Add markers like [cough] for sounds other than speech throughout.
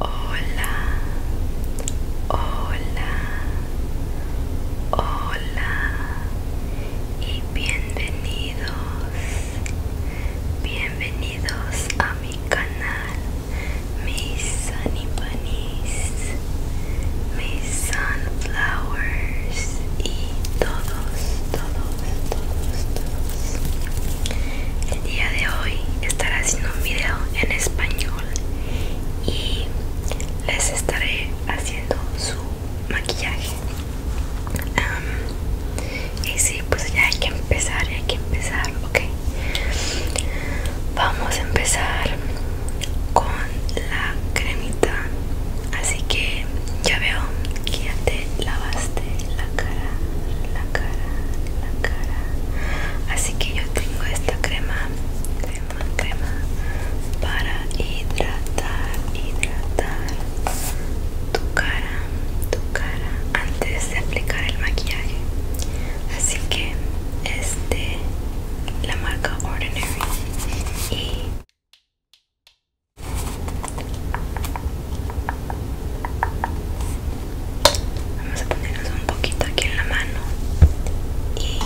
Hola, hola, hola y bienvenidos, bienvenidos a mi canal, mis Bunnies, mis sunflowers y todos, todos, todos, todos, el día de hoy estaré haciendo un video en español y les estaré haciendo su maquillaje. y sí, pues ya hay que empezar, hay que empezar, ok. Vamos a empezar con la cremita. Así que ya veo que ya te lavaste la cara, la cara, la cara. Así que yo tengo esta crema, crema, crema para hidratar, hidratar tu cara, tu cara antes de aplicar el maquillaje. Así que es la marca Ordinary y Vamos a ponernos un poquito aquí en la mano y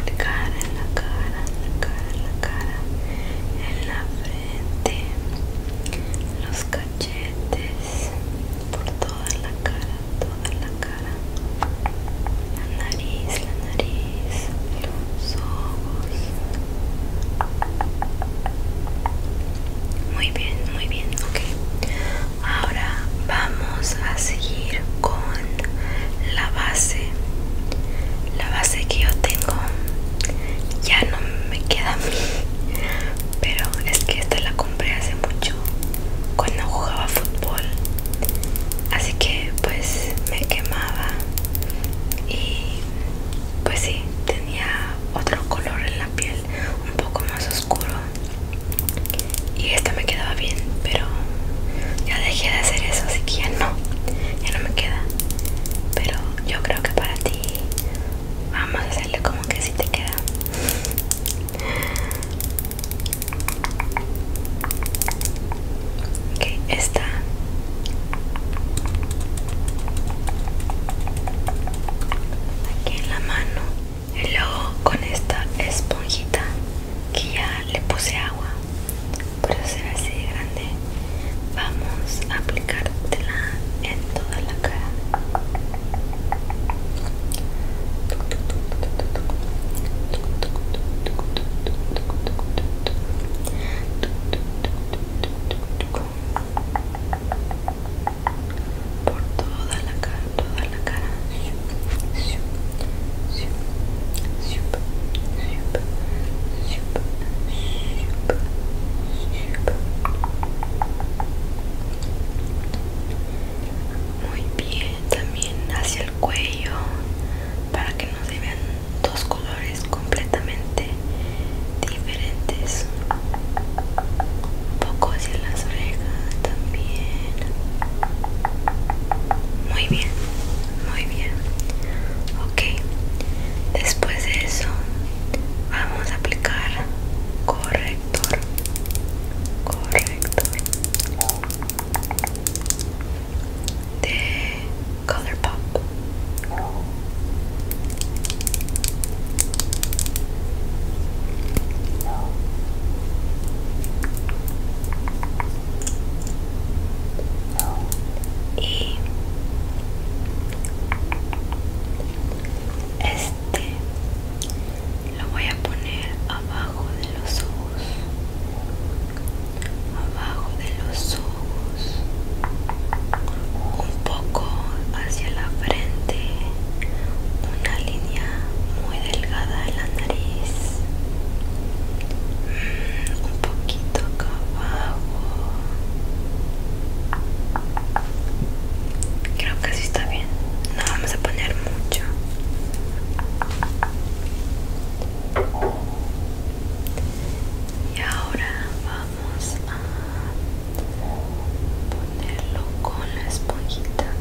aplicar en la cara, en la cara, en la cara, en la frente, los cachetes, por toda la cara, toda la cara la nariz, la nariz, los ojos. Muy bien, muy bien, ok. Ahora vamos a seguir con la base. La base que yo tengo ya no me queda a mí, pero es que esta la compré hace mucho cuando jugaba fútbol así que pues me quemaba y pues sí tenía otro color en la piel un poco más oscuro y esto me quedaba bien pero ya dejé de hacer eso así que ya no ya no me queda pero yo creo que para ti vamos a hacerle como que si sí te queda que esta aquí en la mano y luego con esta esponjita que ya le puse agua por eso así grande vamos a aplicártela en toda la cara por toda la cara, toda la cara. Muy bien, también hacia el cuello para que no se vean dos colores completamente diferentes un poco hacia las orejas también muy bien muy bien ok después de eso vamos a aplicar corrector corrector de pop y este lo voy a poner abajo de los ojos abajo de los ojos, un poco hacia la frente, una línea muy delgada en la nariz, mm, un poquito acá abajo. Creo que así está bien. No vamos a poner mucho y ahora vamos a ponerlo con la esponjita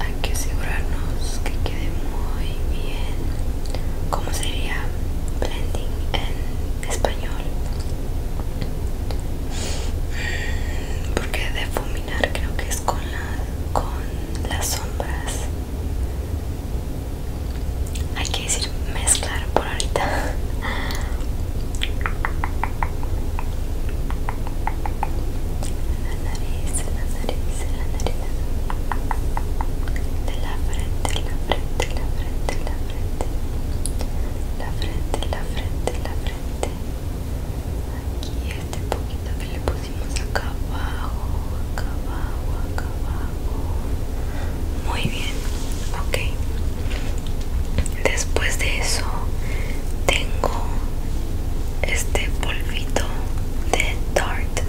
hay que asegurarnos que quede muy bien como sería blending en español porque defuminar creo que es con, la, con las sombras hay que decir mezclar por ahorita la nariz, la nariz, la nariz de la frente, la frente, la frente, la frente la frente, la frente, la frente aquí este poquito que le pusimos acá abajo acá abajo acá abajo muy bien ok después de eso tengo este polvito de Tarte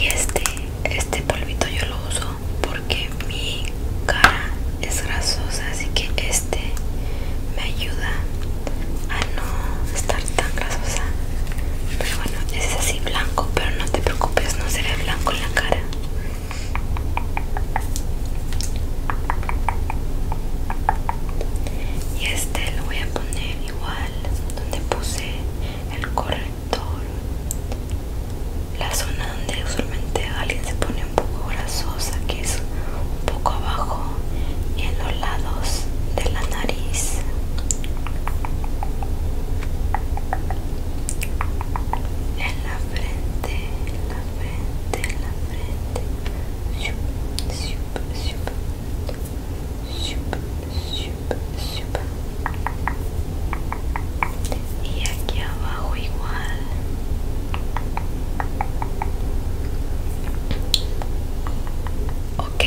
y este este polvito yo lo uso porque mi cara es grasosa así que este me ayuda a no estar tan grasosa pero bueno es así blanco pero no te preocupes no será blanco en la cara y este lo voy a poner igual donde puse el corrector la zona donde usualmente alguien se pone un poco grasosa que es un poco abajo y en los lados de la nariz en la frente en la frente en la frente y aquí abajo igual ok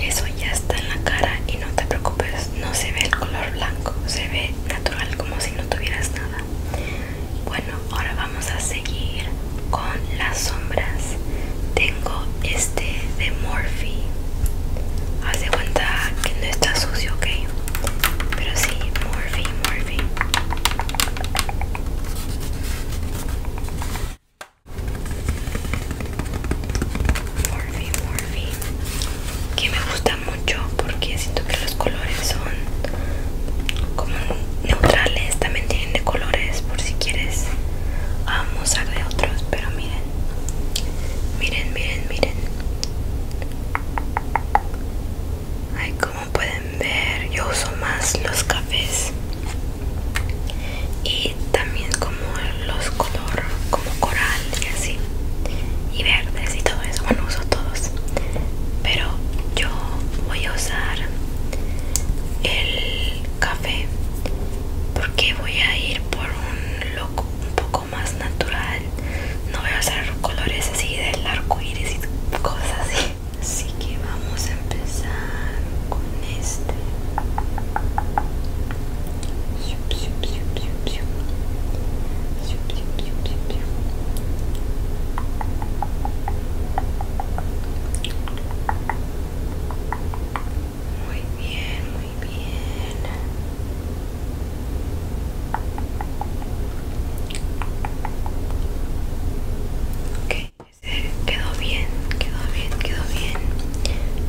eso ya está en la cara y no te preocupes no se ve el color blanco se ve natural como si no tuvieras nada bueno ahora vamos a seguir con las sombras tengo este de Morphe haz de cuenta que no está sucio ok pero sí Morphe Morphe Morphe, que me gusta mucho porque siento que los colores son como neutrales, también tienen de colores por si quieres amosar de otros, pero miren, miren, miren, miren como pueden ver, yo uso más los cafés y también como los color, como coral y así, y verdes y todo eso. Bueno, uso todos, pero yo voy a usar el café porque voy a ir por un loco un poco más natural no voy a usar colores así del arco iris y cosas así así que vamos a empezar con este muy bien, muy bien. Ok, ese quedó bien, quedó bien, quedó bien.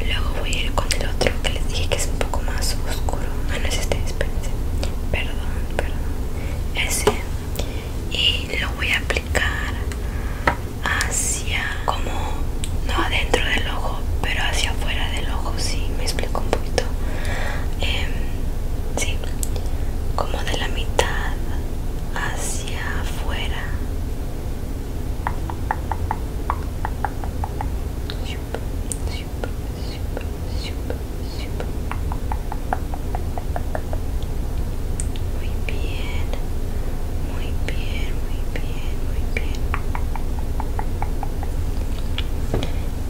Luego voy a ir con el otro que les dije que es un poco más oscuro. Ah, no es este, espérense. Perdón, perdón. Ese. Y lo voy a aplicar hacia como no adentro del ojo pero hacia afuera del ojo si sí, me explico un poquito em, sí, como de la mitad hacia afuera. Muy bien, muy bien, muy bien, muy bien.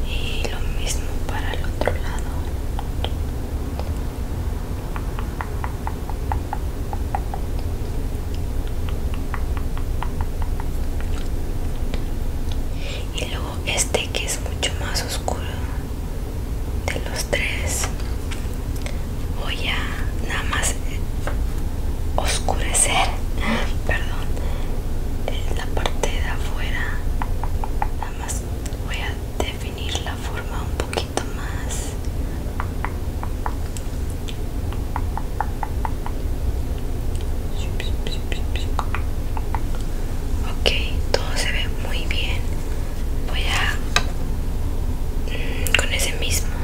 Y lo mismo para el otro lado y luego este que es mucho más oscuro de los tres voy a nada más oscurecer ah, perdón eh, la parte de afuera nada más voy a definir la forma un poquito más ok todo se ve muy bien voy a mm, con ese mismo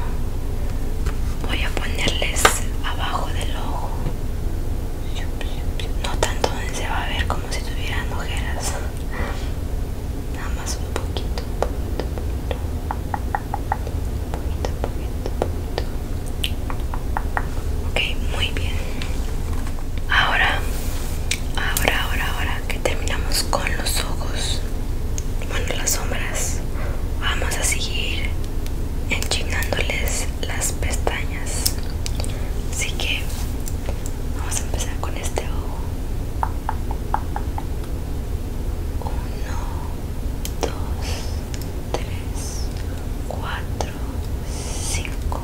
voy a ponerles abajo del ojo no tanto se va a ver como si tuvieran ojeras. Nada más un poquito, un poquito, poquito, poquito, Ok, muy bien. Ahora, ahora, ahora, ahora que terminamos con los ojos, bueno, las sombras, vamos a seguir enchingándoles las pestañas. Así que Vamos a empezar con este ojo. Uno, dos, tres, cuatro, cinco.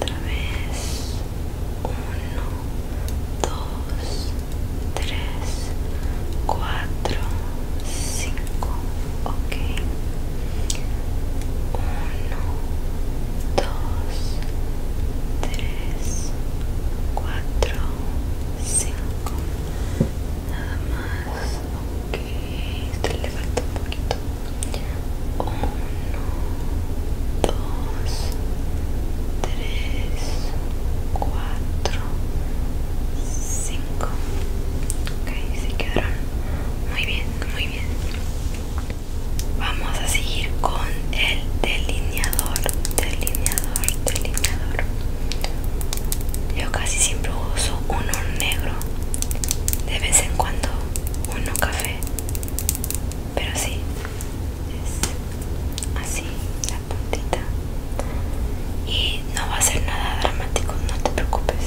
Otra vez. Uno, dos, tres, cuatro, cinco. Ok. 1 2 3 4 5 nada más ok este le falta un poquito 1 2 3 4 5 ok se quedaron muy bien muy bien vamos a seguir con el delineador delineador delineador yo casi siempre uso uno negro de vez en cuando uno café pero sí es así la puntita y no va a ser nada dramático no te preocupes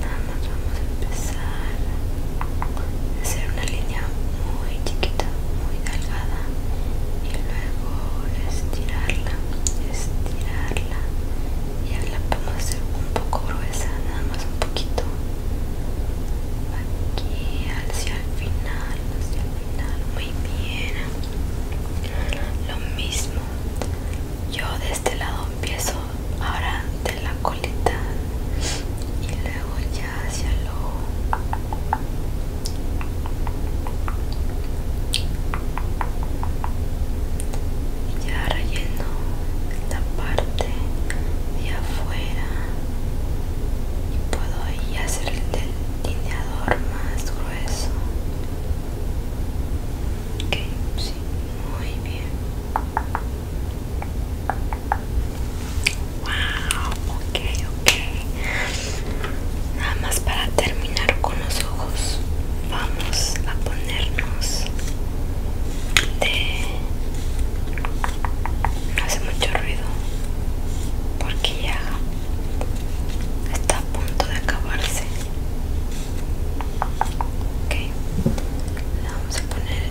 nada más vamos a empezar a hacer una línea muy chiquita muy delgada y luego estirarla estirarla y ahora la podemos hacer un poco gruesa nada más un poquito aquí hacia el final hacia el final muy bien lo mismo yo de este lado empiezo ahora de la colita y luego ya hacia el ojo y ya relleno la parte de afuera y puedo ahí hacer el delineador más grueso ok, sí, muy bien Wow, ok, ok. Nada más para terminar con los ojos, vamos a ponernos de. No hace mucho ruido porque ya está a punto de acabarse. Ok, le vamos a poner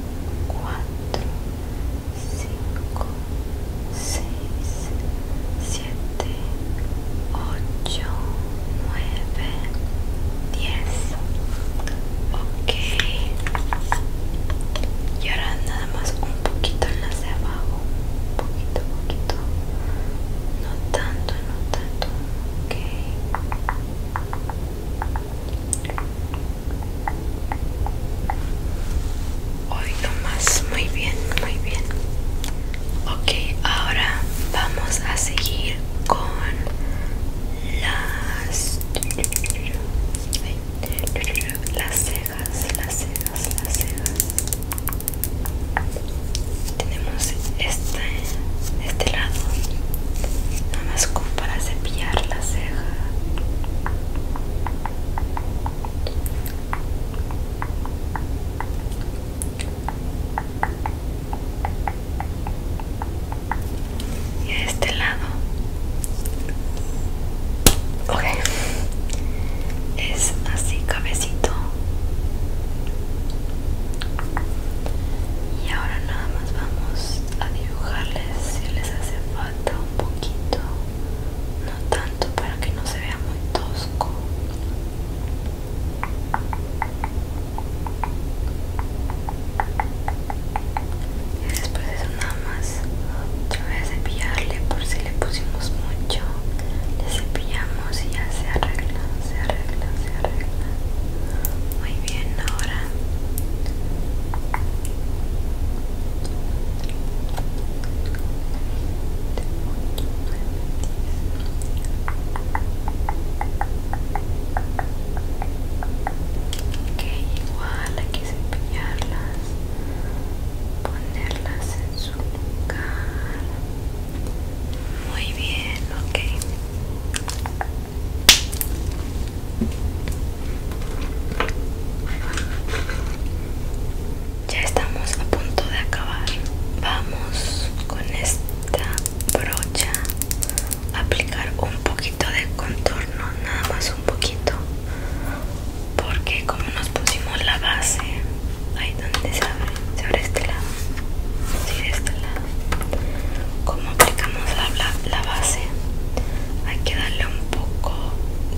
4, 5, 6, 7, 8, 9, 10 ok y ahora nada más un poquito en las de abajo un poquito, poquito no tanto, no tanto ok Hoy nomás, muy bien, muy bien. Ok, ahora vamos a seguir con las las cejas, las cejas, las cejas. Tenemos este, este lado, nada más para cepillar las cejas y de este lado ok es así cabecito y ahora nada más vamos a dibujarles si les hace falta un poquito no tanto para que no se vea muy tosco y después eso nada más otra vez cepillarle por si le pusimos mucho le cepillamos y ya se arregla se arregla se arregla muy bien ahora que igual hay que cepillarlas ponerlas en su lugar muy bien ok ya estamos a punto de acabar. Vamos con esta brocha a aplicar un poquito de contorno, nada más un poquito. Porque como nos pusimos la base, ahí donde se abre, se abre este lado. Sí, este lado como aplicamos la, base hay que darle un poco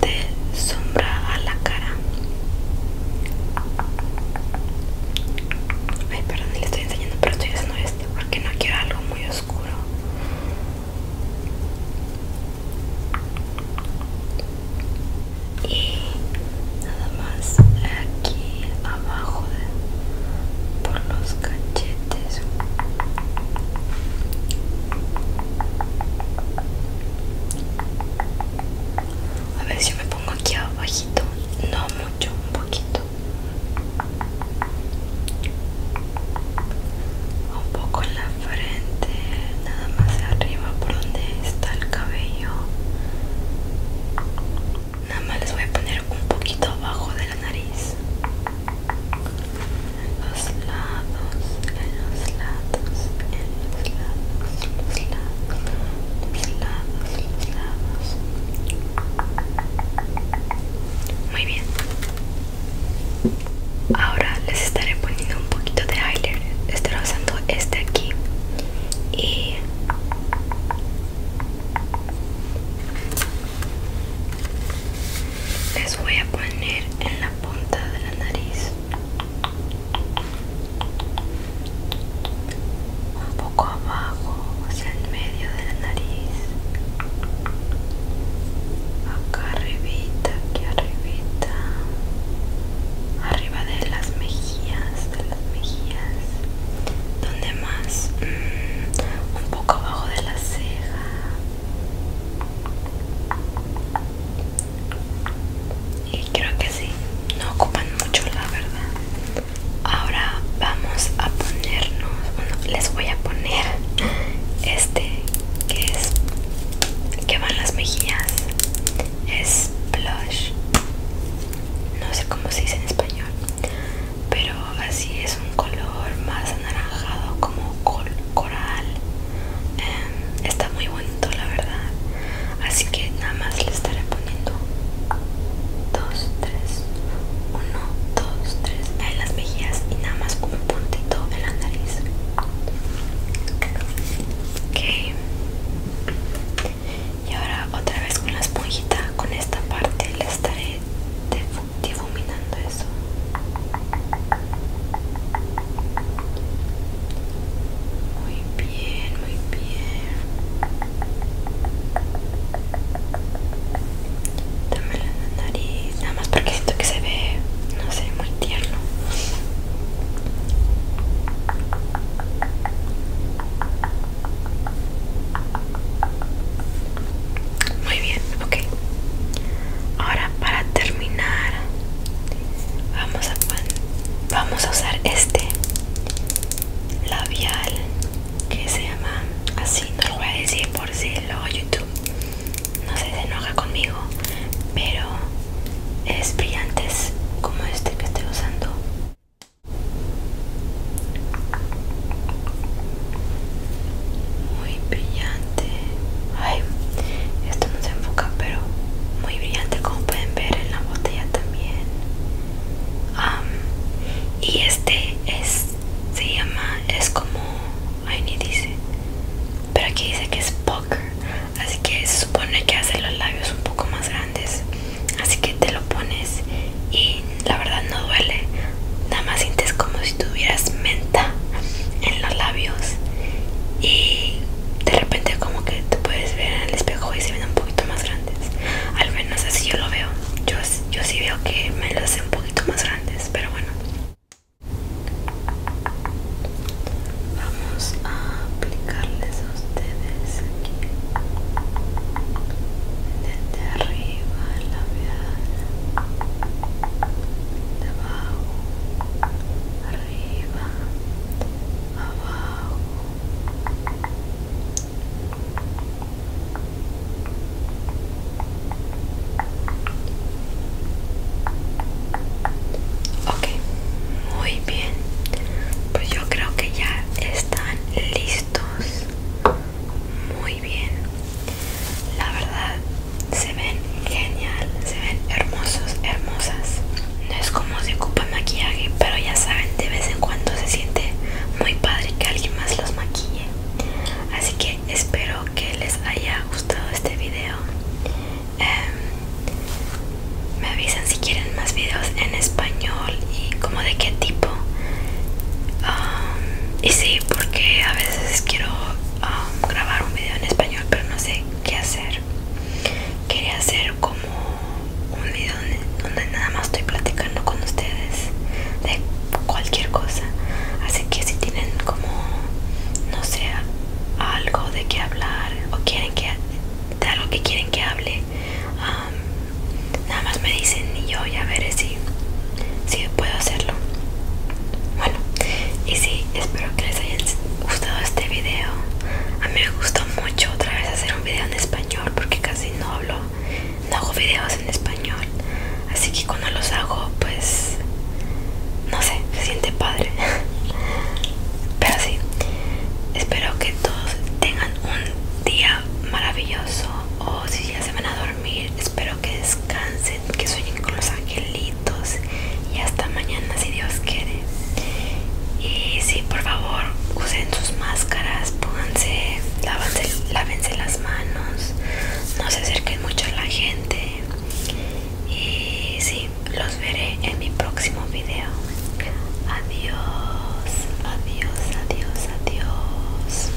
de sombra a la cara ay perdón le estoy enseñando pero estoy haciendo esto porque no quiero algo muy oscuro y nada más aquí abajo de, por los cachetes a ver si me pongo aquí abajito no mucho un poquito un poco en la frente nada más arriba por donde está el cabello nada más les voy a poner un poquito abajo de la nariz los lados, en los lados, en los lados, los lados, los lados, los lados. Muy bien. Ahora les estaré poniendo un poquito de eyeliner. Estaré usando este aquí y les voy a poner en la punta de la nariz un poco abajo hacia el medio de la nariz acá arribita aquí arribita arriba de las mejillas de las mejillas donde más mm, un poco abajo de la ceja y creo que sí, no ocupan mucho la verdad. Ahora vamos a ponernos, bueno, les voy a poner este que es que van las mejillas. Es blush. No sé cómo se dice en español, pero así es un color más anaranjado como coral em, está muy bonito la verdad así que nada más le estaré poniendo 2 3 1 2 3 en las mejillas y nada más un puntito en la nariz ok y ahora otra vez con la esponjita con esta parte le estaré te difuminando eso muy bien muy bien dame la nariz nada más porque siento que se ve no sé muy tierno muy bien ok ahora para terminar vamos a usar este labial que se llama así no lo voy a decir por si luego youtube no se enoja conmigo pero es brillante como este que estoy usando muy brillante ay esto no se enfoca pero muy brillante como pueden ver en la botella también y este es se llama es como ay ni dice pero aquí dice que es poker así que se supone que hace los labios un poco más grandes así que te lo pones y la verdad no duele nada más sientes como si tuvieras menta en los labios y de repente como que te puedes ver en el espejo y se ven un poquito más grandes al menos así yo lo veo yo, yo sí veo que me los hace un poquito más grandes pero bueno vamos a aplicarles a ustedes aquí desde arriba el labial abajo, arriba, abajo. Ok, muy bien. Pues yo creo que ya están listos. Muy bien. La verdad se ven genial, se ven hermosos, hermosas. No es como se ocupa maquillaje, pero ya saben, de vez en cuando se siente muy padre que alguien más los maquille. Así que espero que les haya gustado este video. Em, me avisan si quieren más videos en español y como de qué tipo. y sí, porque a veces quiero grabar un video en español, pero no sé qué hacer. Quería hacer como un video donde nada más estoy platicando con ustedes de cualquier cosa. Así que si tienen como, no sé, algo de qué hablar o quieren que de algo que quieren que hable, um, nada más me dicen y yo ya veré si si puedo hacerlo bueno y si espero que les haya gustado este video a mí me gustó mucho otra vez hacer un video en español porque casi no hablo no hago videos en español así que cuando los hago pues no sé se siente padre [laughs] pero sí espero que todos tengan un día maravilloso o si ya se van a dormir espero que descansen que sueñen con los angelitos y hasta mañana si Dios quiere. Y sí, por favor, usen sus máscaras, pónganse, lávense las manos, no se acerquen mucho a la gente. Y sí, los veré en mi próximo video. Adiós, adiós, adiós, adiós.